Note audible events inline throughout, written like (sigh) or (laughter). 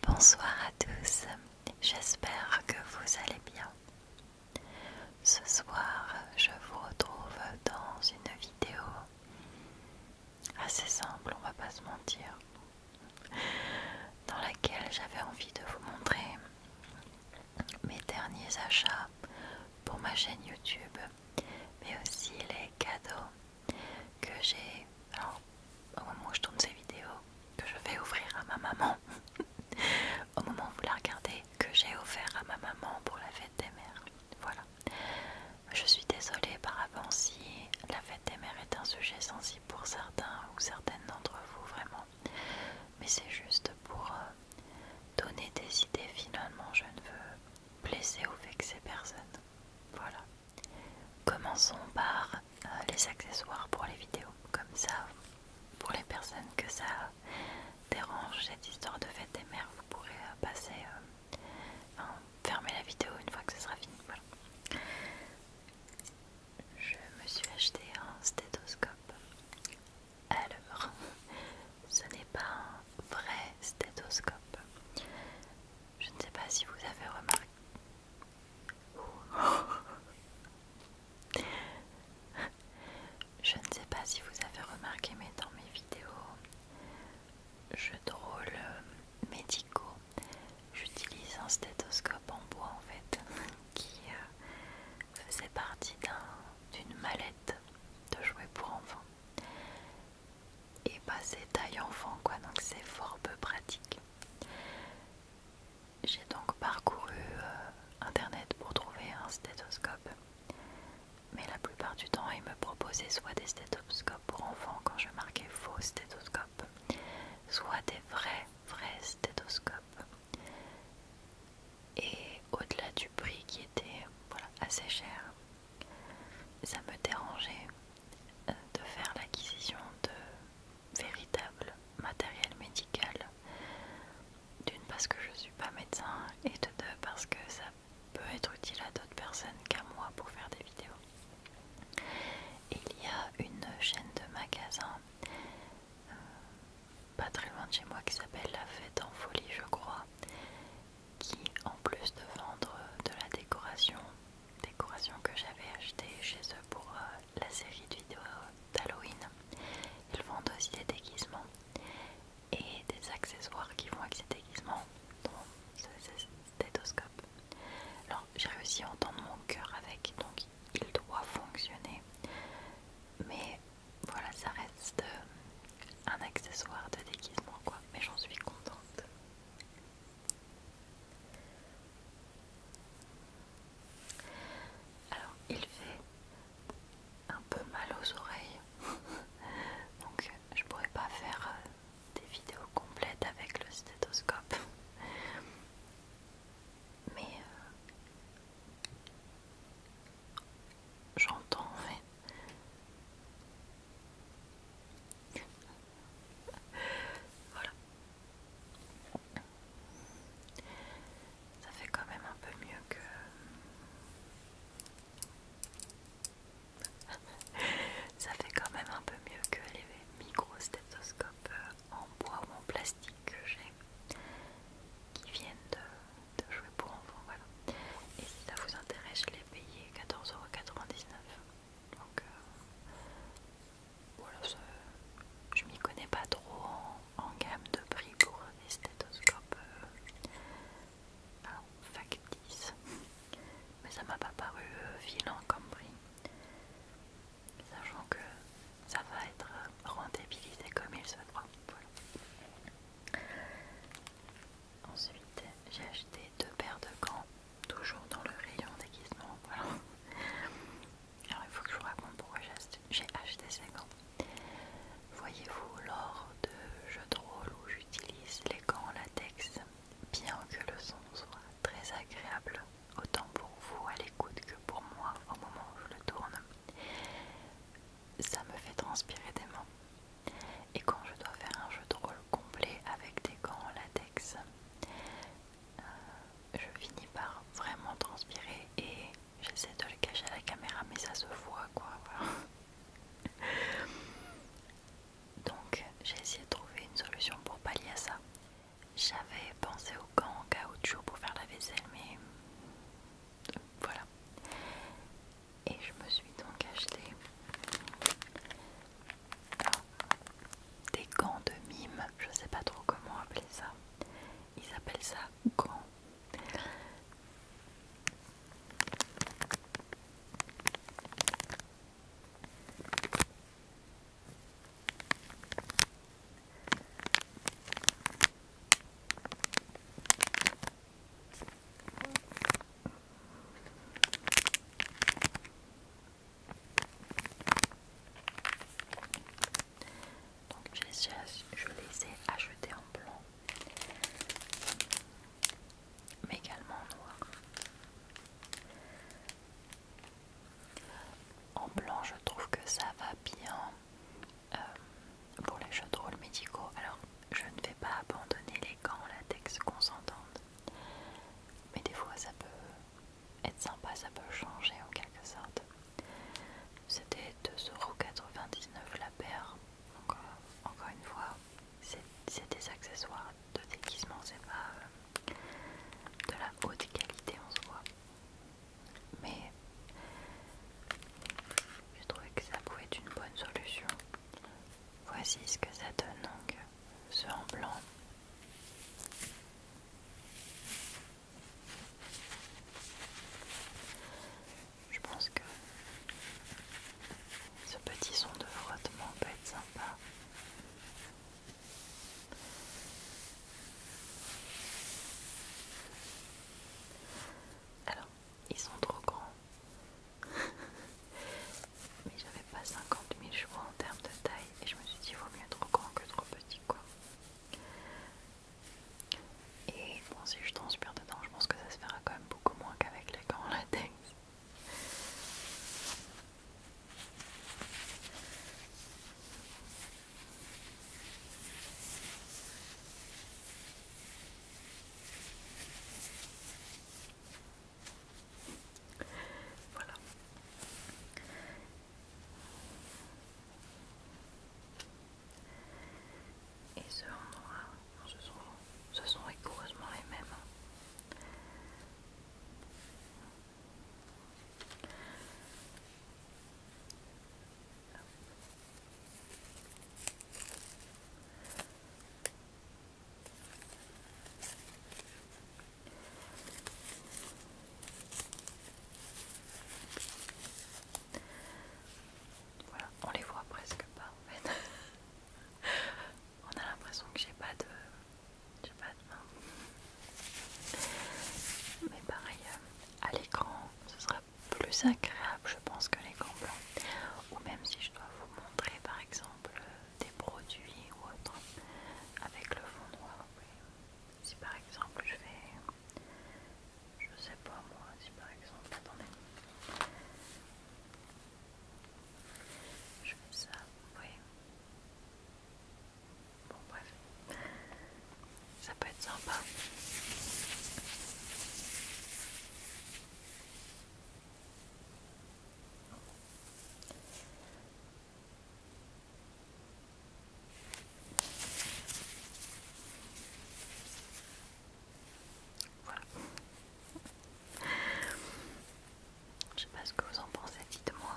Bonsoir à tous, j'espère que vous allez bien. Ce soir, je vous retrouve dans une vidéo assez simple, on va pas se mentir, dans laquelle j'avais envie de vous montrer mes derniers achats pour ma chaîne YouTube, mais aussi les cadeaux que j'ai. au moment où je tourne ces vidéos, que je vais ouvrir à ma maman, (laughs) au moment où vous la regardez, que j'ai offert à ma maman pour la fête des mères. Voilà. Je suis désolée par avance si la fête des mères est un sujet sensible pour certains ou certaines d'entre vous, vraiment mais c'est juste pour euh, donner des idées. Finalement, je ne veux blesser ou vexer personne. Voilà. Commençons par euh, les accessoires pour les vidéos. Comme ça, pour les personnes que ça dérange, cette histoire de fête des mères, vous pourrez euh, passer, fermer la vidéo une fois que ce sera fini. Voilà je me suis acheté un stéthoscope alors (laughs) ce n'est pas un vrai stéthoscope je ne sais pas si vous avez remarqué je ne sais pas si vous avez remarqué mais dans mes vidéos je drôle euh, médicaux j'utilise un stéthoscope en bois en fait (laughs) qui euh, faisait partie d'une mallette de jouets pour enfants. Et bah c'est taille enfant quoi, donc c'est fort peu pratique. J'ai donc parcouru euh, internet pour trouver un stéthoscope. Mais la plupart du temps, ils me proposaient soit des stéthoscopes pour enfants quand je marquais faux stéthoscope, soit des vrais vrais stéthoscope. Et au-delà du prix qui était voilà, assez cher, ça me dérangeait euh, de faire l'acquisition de véritable matériel médical. D'une parce que je suis pas médecin et de deux parce que ça peut être utile à d'autres personnes qu'à moi pour faire des vidéos. Il y a une chaîne de magasins euh, pas très loin de chez moi qui s'appelle La Fête en Folie, je crois, qui en plus de vendre euh, de la décoration, décoration que j'avais acheté chez eux pour euh, la série de vidéos d'Halloween, ils vendent aussi des déguisements et des accessoires qui vont avec ces déguisements, dont ce stéthoscope. Alors j'ai réussi à entendre mon cœur avec, donc il doit fonctionner. Mais voilà, ça reste euh, un accessoire de déguisement quoi. Mais j'en suis contente. Alors, il fait un peu mal aux oreilles. (laughs) Donc, je pourrais pas faire euh, des vidéos complètes avec le stéthoscope. Mais euh, J'entends, fait voilà. Ça fait quand même un peu mieux que... (laughs) Ça fait quand même un peu mieux que les micro-stéthoscopes euh, en bois ou en plastique que j'ai qui viennent de, jouer pour enfants. Voilà. Et si ça vous intéresse, je l'ai payé 14,99€. Donc euh, voilà, je m'y connais pas trop en, gamme de prix pour un stéthoscopes euh, mais ça m'a pas paru euh, violent comme prix sachant que ça va être euh, rentabilisé comme il se doit. Ensuite, j'ai acheté deux paires de gants, toujours dans le rayon déguisement. Alors, il faut que je vous raconte pourquoi j'ai acheté ces gants. Voyez-vous, lors de jeux de rôle où j'utilise les gants en latex, bien que le son soit très agréable autant pour vous à l'écoute que pour moi au moment où je le tourne. Ça me fait transpirer des mains. Et quand je dois faire un jeu de rôle complet avec des gants en latex, euh, je finis par vraiment transpirer et j'essaie de le cacher à la caméra, mais ça se voit quoi. (laughs) Donc j'ai essayé de trouver une solution pour pallier à ça. J'avais pensé aux gants en caoutchouc pour faire la vaisselle, mais voilà. Et je me suis donc acheté des gants de mime, je sais pas trop comment appeler ça. Ils appellent ça gants. Donc je les, je ai achetés en blanc, mais également en noir. En blanc, je trouve que ça va bien euh, pour les jeux de rôle médicaux. Alors, je ne vais pas abandonner les gants latex qu'on mais des fois ça peut être sympa, ça peut changer en quelque sorte. C'était 2,99€ la paire, donc euh, encore une fois, c'est des accessoires de déguisement, c'est pas euh, de la haute qualité en soi mais je trouvais que ça pouvait être une bonne solution. Voici ce que ça donne donc ce en blanc. Je pense que ce petit son de frottement peut être sympa. Alors, ils sont trop grands. (laughs) Mais j'avais pas 50 000 chevaux en termes de taille et je me suis dit il vaut mieux trop grand que trop petit quoi. Et bon si je transpire dedans je pense que ça se fera quand même beaucoup moins qu'avec les gants latex. Voilà. Et ceux en noir, ce sont, ce sont rigoureusement les mêmes. Voilà, on les voit presque pas en fait. (laughs) on a l'impression que j'ai pas de j'ai pas de main. Mais pareil, euh, à l'écran, ce sera plus agréable, je pense, que l'écran blanc. Ou même si je dois vous montrer, par exemple, euh, des produits ou autre avec le fond noir. Si par exemple, je fais je sais pas moi, si par exemple, attendez. Je fais ça, oui. Bon, bref, ça peut être sympa. Voilà. Je sais pas ce que vous en pensez, dites-moi.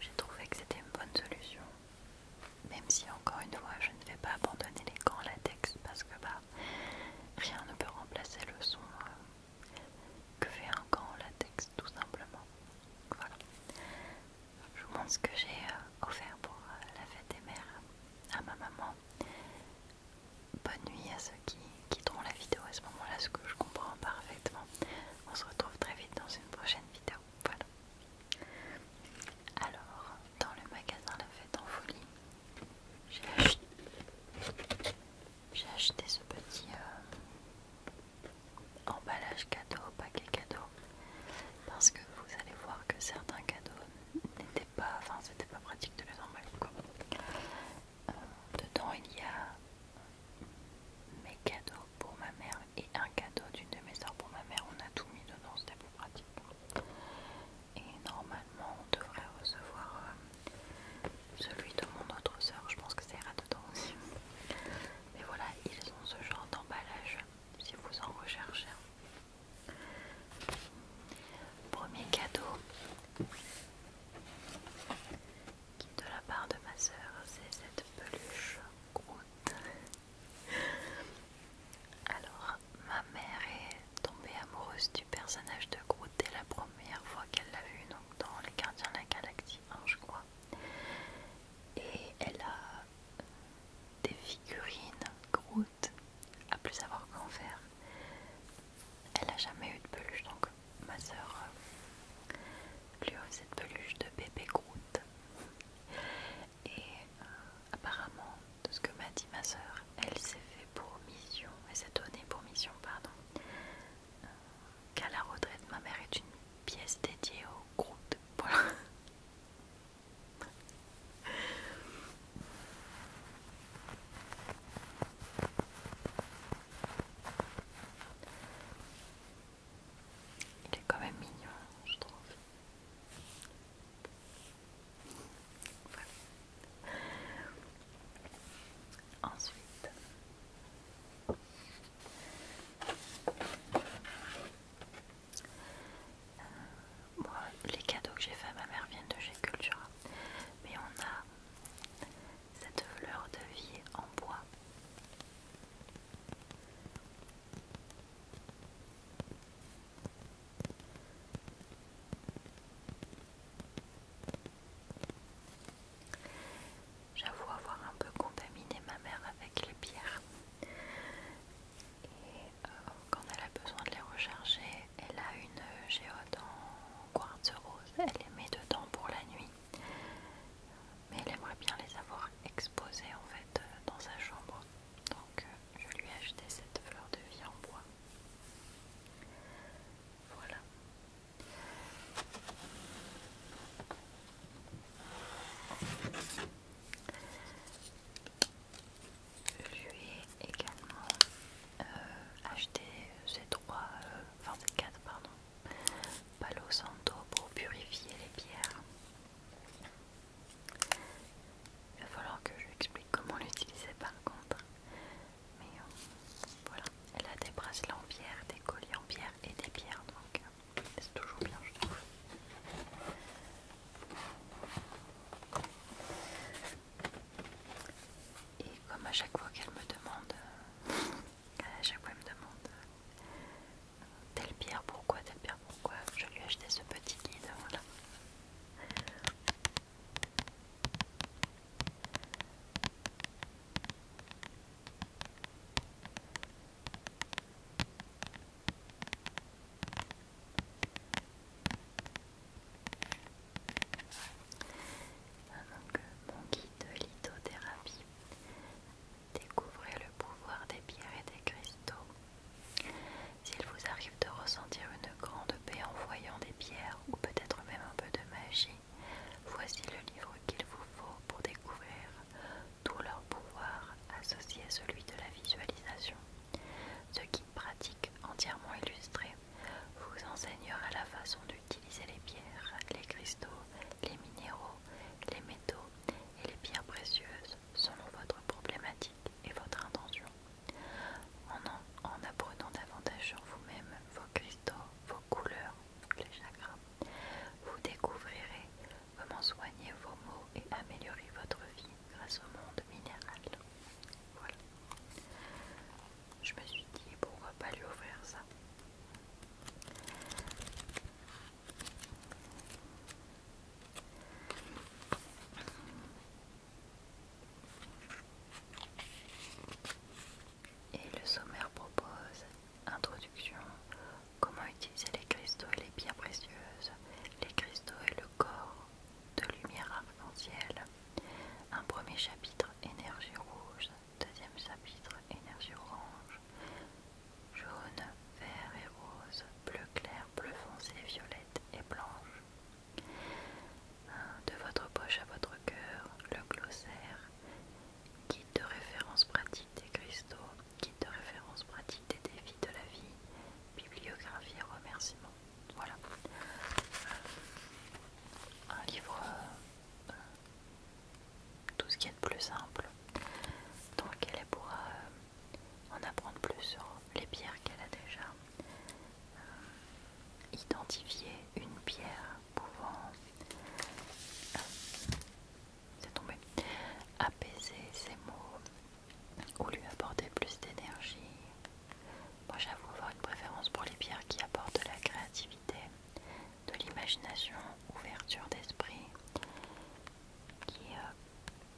J'ai trouvé que c'était une bonne solution, même si encore une fois je ne vais pas abandonner les gants latex parce que bah rien ne peut remplacer le son euh, que fait un gant latex tout simplement. Voilà. Je vous montre ce que j'ai euh, offert pour euh, la fête des mères à ma maman. Bonne nuit à ceux qui quitteront la vidéo à ce moment-là, ce que je comprends parfaitement. On se retrouve très vite dans une prochaine vidéo. Voilà. Alors, dans le magasin La Fête en Folie, j'ai acheté, ce petit euh, emballage cadeau, paquet cadeau, parce que vous allez voir que certains cadeaux n'étaient pas, enfin, c'était pas pratique de les emballer. Quoi. Euh, dedans, il y a mes cadeaux pour ma mère et un cadeau d'une de mes soeurs pour ma mère. On a tout mis dedans, c'était plus pratique. Et normalement, on devrait recevoir euh, celui de mon autre soeur. Je pense que ça ira dedans aussi. Mais voilà, ils ont ce genre d'emballage si vous en recherchez. Premier cadeau de la part de ma sœur, c'est cette peluche Groot. Alors, ma mère est tombée amoureuse du personnage de Groot dès la première fois qu'elle l'a vu, donc dans Les Gardiens de la Galaxie je crois. Et elle a des figurines Groot, à plus avoir qu'en faire. Elle n'a jamais eu de peluche, donc ma sœur... Euh, lui cette peluche de bébé Groot. Et euh, apparemment, de ce que m'a dit ma soeur, elle s'est fait pour mission, elle s'est donnée pour mission, pardon, euh, qu'à la retraite, ma mère est une pièce dédiée au Groot. (laughs) Voilà. Il est quand même mignon, je trouve. Ensuite, euh, moi, les cadeaux que j'ai fait à ma mère viennent de chez Cultura, mais on a cette fleur de vie en bois J'avoue avoir un peu contaminé ma mère avec les pierres. Et euh, quand elle a besoin de les recharger, elle a une euh, géote en quartz rose. Elle les met dedans pour la nuit mais elle aimerait bien les avoir exposées en fait euh, dans sa chambre. Donc euh, je lui ai acheté cette fleur de vie en bois. Voilà. Je lui ai également euh, acheté ces trois, enfin quatre pardon, Palo Santo pour purifier les pierres. Il va falloir que je lui explique comment l'utiliser par contre. Mais euh, voilà, elle a des bracelets en pierre, des colliers en pierre et des pierres donc euh, c'est toujours bien je trouve. Et comme à chaque fois qu'elle me demande, euh, (laughs) à chaque fois qu'elle me demande telle pierre pourquoi, telle pierre pourquoi. Je lui ai acheté ce petit guide, voilà. Ah, donc, euh, mon guide lithothérapie Découvrez le pouvoir des pierres et des cristaux. S'il vous arrive de ressentir une grande paix en voyant des pierres ou peut-être même un peu de magie, voici le livre qu'il vous faut pour découvrir tout leur pouvoir associé à celui de la visualisation. Ce guide pratique entièrement illustré vous enseignera la façon d'utiliser les pierres, les cristaux, les minéraux les métaux et les pierres précieuses selon votre problématique et votre intention, en, apprenant davantage sur vous-même, vos cristaux, vos couleurs, les chakras. Vous découvrirez comment soigner vos maux et améliorer votre vie grâce au monde minéral. Voilà. Je me suis dit pourquoi pas lui offrir ça. Et le sommaire propose introduction, comment utiliser les cristaux et les pierres précieuses, les cristaux et le corps de lumière arc-en-ciel. Un premier chapitre énergie rouge, deuxième chapitre énergie orange, jaune, vert et rose, bleu clair, bleu foncé, violette et blanche. De votre poche à votre cœur, le glossaire, guide de référence pratique des cristaux, guide de référence pratique des défis de la vie, bibliographie et remerciements. Voilà. Un livre euh, tout ce qui est de plus simple. Donc elle pourra euh, en apprendre plus sur les pierres qu'elle a déjà. Euh, identifié. une pierre pouvant... Euh, apaiser ses mots ou lui apporter plus d'énergie. Moi j'avoue avoir une préférence pour les pierres qui apportent de la créativité de l'imagination, ouverture d'esprit qui euh,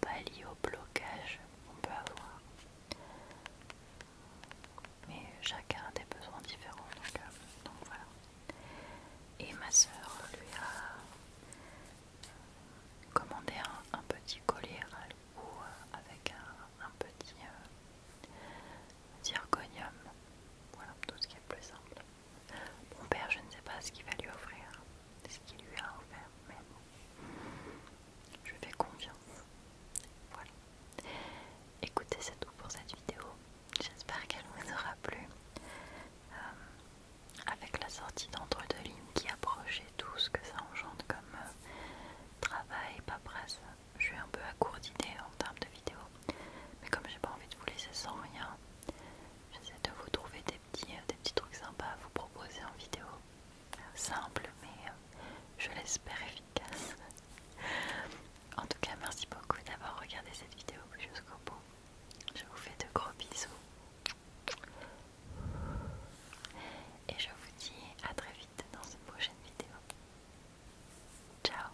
pas lié au blocage qu'on peut avoir. Mais chacun a des besoins différents, donc, euh, voilà. Et ma soeur lui a euh, commandé un, petit collier à avec un, petit zirconium. Voilà, tout ce qui est plus simple. Mon père, je ne sais pas ce qu'il va lui offrir, ce qu'il lui a offert, mais bon, je fais confiance. Voilà. Écoutez, c'est tout pour cette vidéo. J'espère qu'elle vous aura plu. Euh, avec la sortie d'entre deux lignes qui approche et tout ce que ça engendre comme euh, travail, travail, presse, je suis un peu à court d'idées en termes de vidéo. Mais comme j'ai pas envie de vous laisser sans rien, J'essaie de vous trouver des petits, euh, des petits trucs sympas à vous proposer en vidéo. Simple, mais euh, je l'espère efficace. (laughs) En tout cas, merci beaucoup d'avoir regardé cette vidéo jusqu'au bout. Je vous fais de gros bisous. Et je vous dis à très vite dans une prochaine vidéo. Ciao